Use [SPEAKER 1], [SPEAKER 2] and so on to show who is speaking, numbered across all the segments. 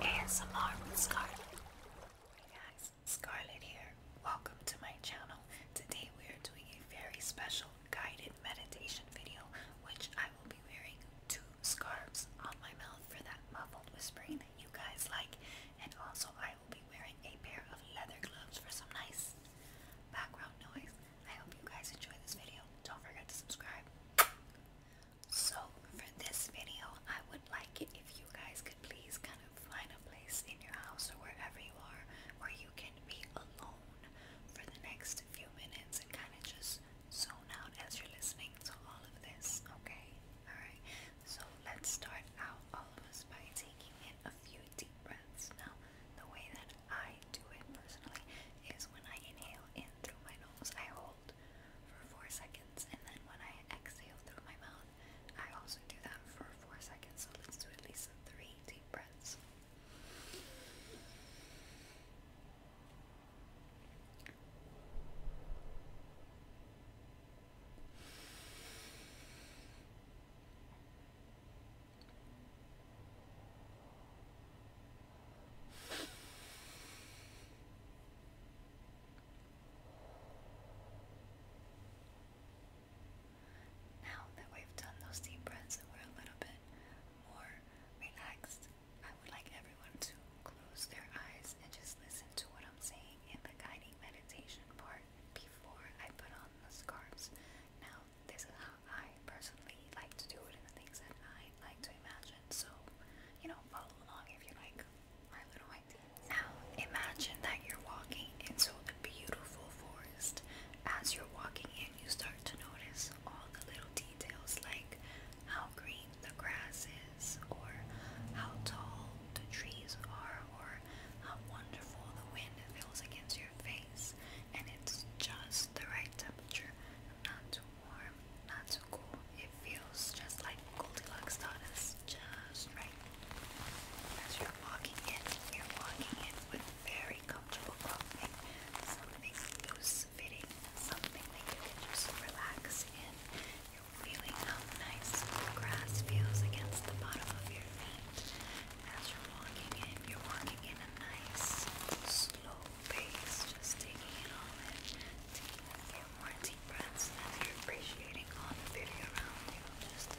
[SPEAKER 1] ASMR Scarlet. Hey guys, Scarlet here. Welcome to my channel. Today we are doing a very special guided meditation video, which I will be wearing two scarves on my mouth for that muffled whispering that you guys like, and also I will be wearing a pair of leather gloves for some nice background noise. I hope you guys enjoy this video. Don't forget to subscribe. So, for this video, I would like it if you guys could please kind of find a place in your house or wherever you are where you can be alone for the next few minutes and kind of just zone out as you're listening to all of this, okay? Alright, so let's start out all of us by taking in a few deep breaths. Now, the way that I do it personally is when I inhale in through my nose, I hold for four seconds, and then when I exhale through my mouth, I also do that for four seconds. So let's do at least three deep breaths. Now that we've done those deep breaths and we're a little bit more relaxed, I would like everyone to close their eyes and just listen to what I'm saying in the guiding meditation part before I put on the scarves. Now um, this is how I personally like to do it and the things that I like to imagine. So, you know, follow along if you like my little ideas. Now, imagine that you're walking into a beautiful forest. As you're walking in, you start to notice all the little details like how green the grass is, or how tall the trees are, or how wonderful the wind feels against face and it's just the right temperature. Not too warm, not too cool. It feels just like Goldilocks donuts, just right. As you're walking in, you're walking in with very comfortable clothing, something loose fitting, something that you can just relax in. You're feeling how nice the grass feels against the bottom of your feet. As you're walking in, you're walking in a nice, slow pace, just taking it all in. Taking a few more deep are appreciating all the beauty around you. Just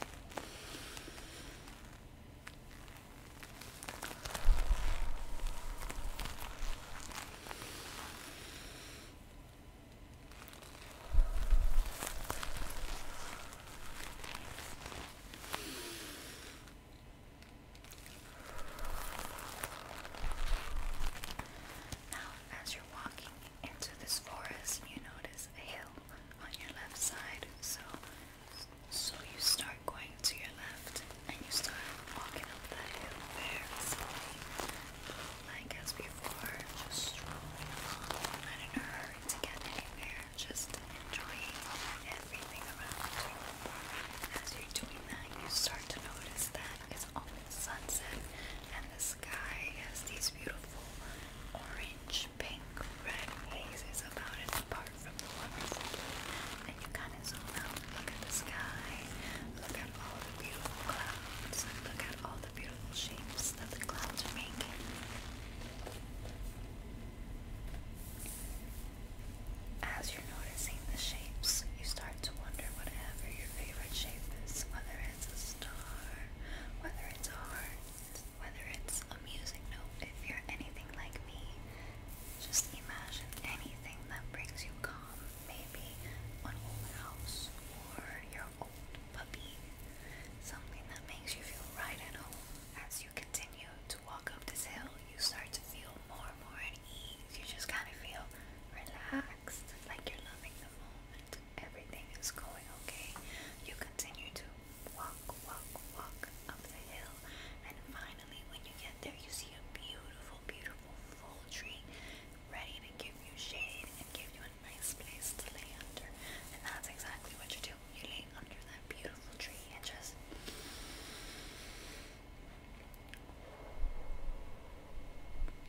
[SPEAKER 1] now, as you're walking into this forest, you notice a hill on your left side. So, so you start going to your left, and you start walking up that hill very as before, just strolling along, not in a hurry to get anywhere just enjoying everything around you. As you're doing that, you start to notice that it's almost sunset and the sky has these beautiful orange, pink, red hazes about it apart from the wonderful blue. And you kind of zoom out, look at the sky, look at all the beautiful clouds, look at all the beautiful shapes that the clouds are making. As you're noticing the shapes, you start to wonder whatever your favorite shape is, whether it's a star, whether it's a heart, whether it's a music note. If you're anything like me, just imagine anything that brings you calm. Maybe an old house or your old puppy. Something that makes you feel right at home as you continue to walk up this hill, you start to feel more and more at ease. You just kind of feel relaxed, like you're loving the moment. Everything is going okay. You continue to walk, walk, walk up the hill, and finally, when you get there, you see a beautiful, beautiful full tree ready to give you shade and give you a nice place to lay under. And that's exactly what you do accumulate under that beautiful tree and just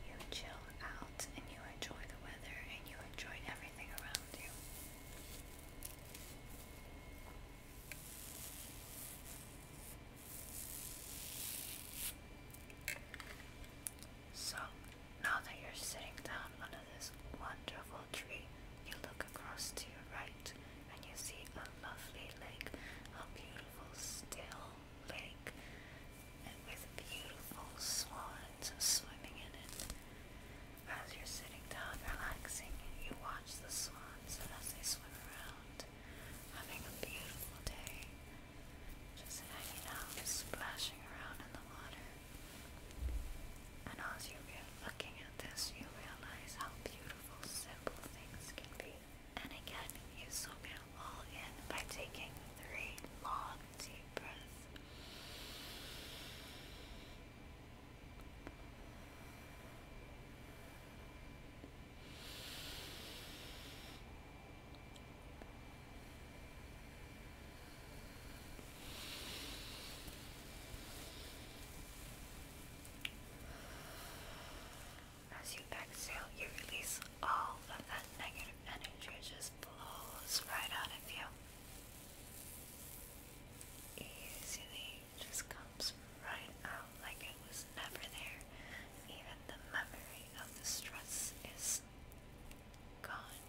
[SPEAKER 1] you chill out and you enjoy the weather and you enjoy everything around you. So now that you're sitting down under this wonderful you look across to your right and you see a lovely lake, a beautiful still lake, and with beautiful swans swimming in it. As you're sitting down relaxing, you watch the swans as they swim around, having a beautiful day, just hanging out, splashing around in the water. And as you get looking at this, you realize how beautiful, simple things can be. And again, you soak it all in by taking three long, deep breaths. As you exhale, you release all of that negative energy. just blows right out of you. Easily just comes right out like it was never there. Even the memory of the stress is gone.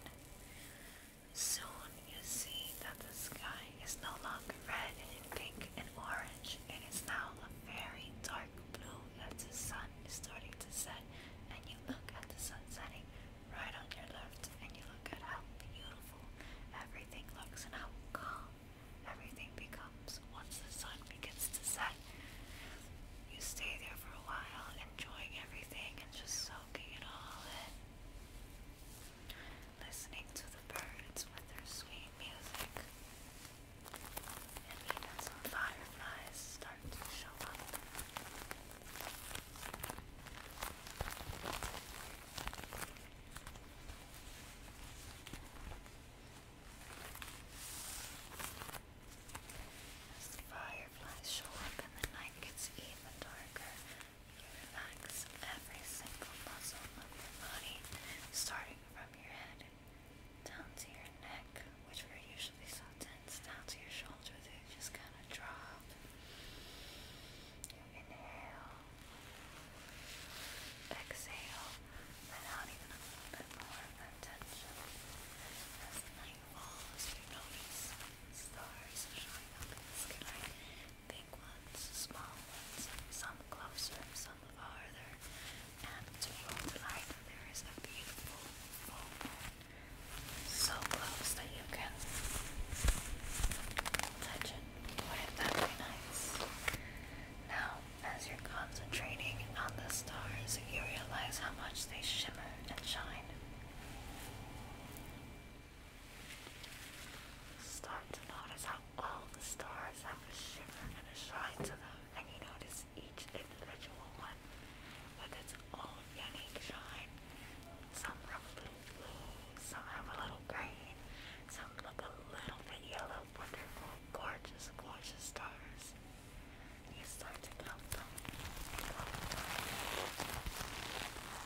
[SPEAKER 1] Soon you see that the sky is no longer red and pink and orange. It is now a very dark blue That the sun is starting to set and you look at the sun setting right on your left and you look at how beautiful everything looks and how calm everything becomes once the sun begins to set. You stay there for a while enjoying everything and just soaking it all in listening to the birds with their sweet music. And even some fireflies start to show up. the fireflies show up and the night gets even darker, you Relax every single muscle of your body, starting from your head down to your neck, which were usually so tense, down to your shoulders. They just kind of drop. You inhale, exhale, and out even a little bit more of that tension. As you notice stars are up in the sky big ones, small ones, some closer, some farther, and to there is a beautiful so close that you can touch it. Wouldn't that be nice? Now, as you're concentrating on the stars, you realize how much they shimmer and shine. Start to notice how all the stars have a shimmer and a shine to them, and you notice each individual one with its own unique shine. Some have a little blue, some have a little green, some look a little bit yellow, wonderful, gorgeous, gorgeous stars. You start to count them.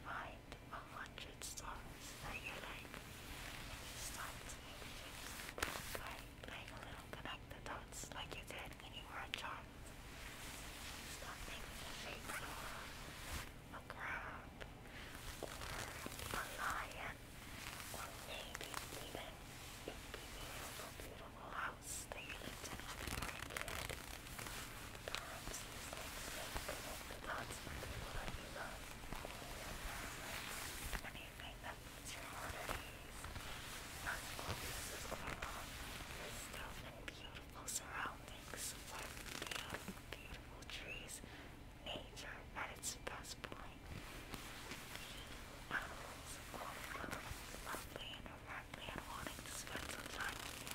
[SPEAKER 1] find a hundred stories that you like start to make a little connect dots like you did when you were a child. Stop making the shapes of a or maybe even beautiful, beautiful house that you lived in when you were a kid. love. Anything that puts your heart at ease. beautiful surroundings. With beautiful, beautiful trees. Nature at its best point. You are so lovely wanting to spend some time with you.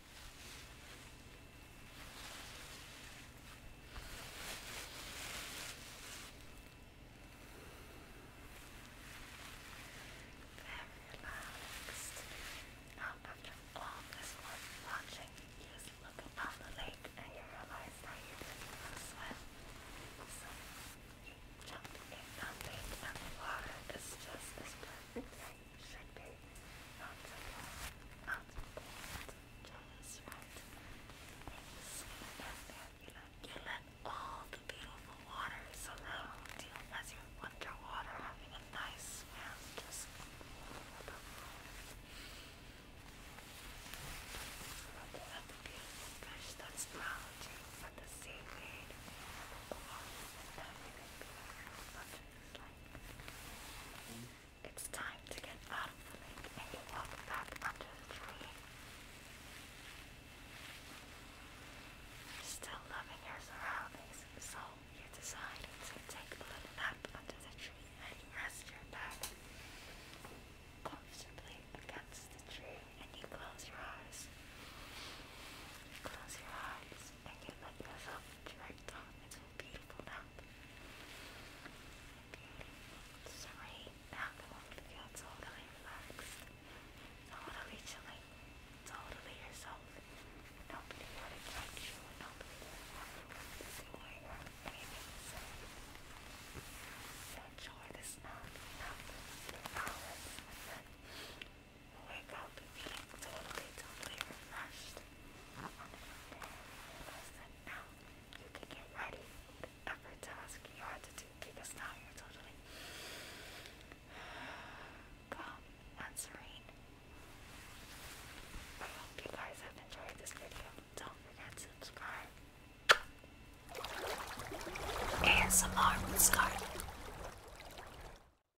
[SPEAKER 1] Very relaxed. Now, after all this work watching, you just look up the lake and you realize that you didn't swim. So you jump in that lake and the water is just as perfect should be not surprised, not surprised, just right. You let, you let all the beautiful water surround you as you underwater having a nice smell just Look the beautiful fish that surround you the seaweed and the water and everything beautiful. Such it's time to get out of the lake and you walk back under the tree. Still loving your surroundings, so you decided to take a little nap under the tree and rest your back comfortably against the tree and you close your eyes. close your eyes and you let yourself drift right It's all beautiful now. Beautiful. now I want to feel relaxed. Totally chilling. Totally yourself. Nobody wanna touch you. Nobody wanna Enjoy this now. I wake up feeling totally, totally refreshed. Listen, now you can get ready for every task you had to do because now you're totally calm and serene. I hope you guys have enjoyed this video. Don't forget to subscribe. ASMR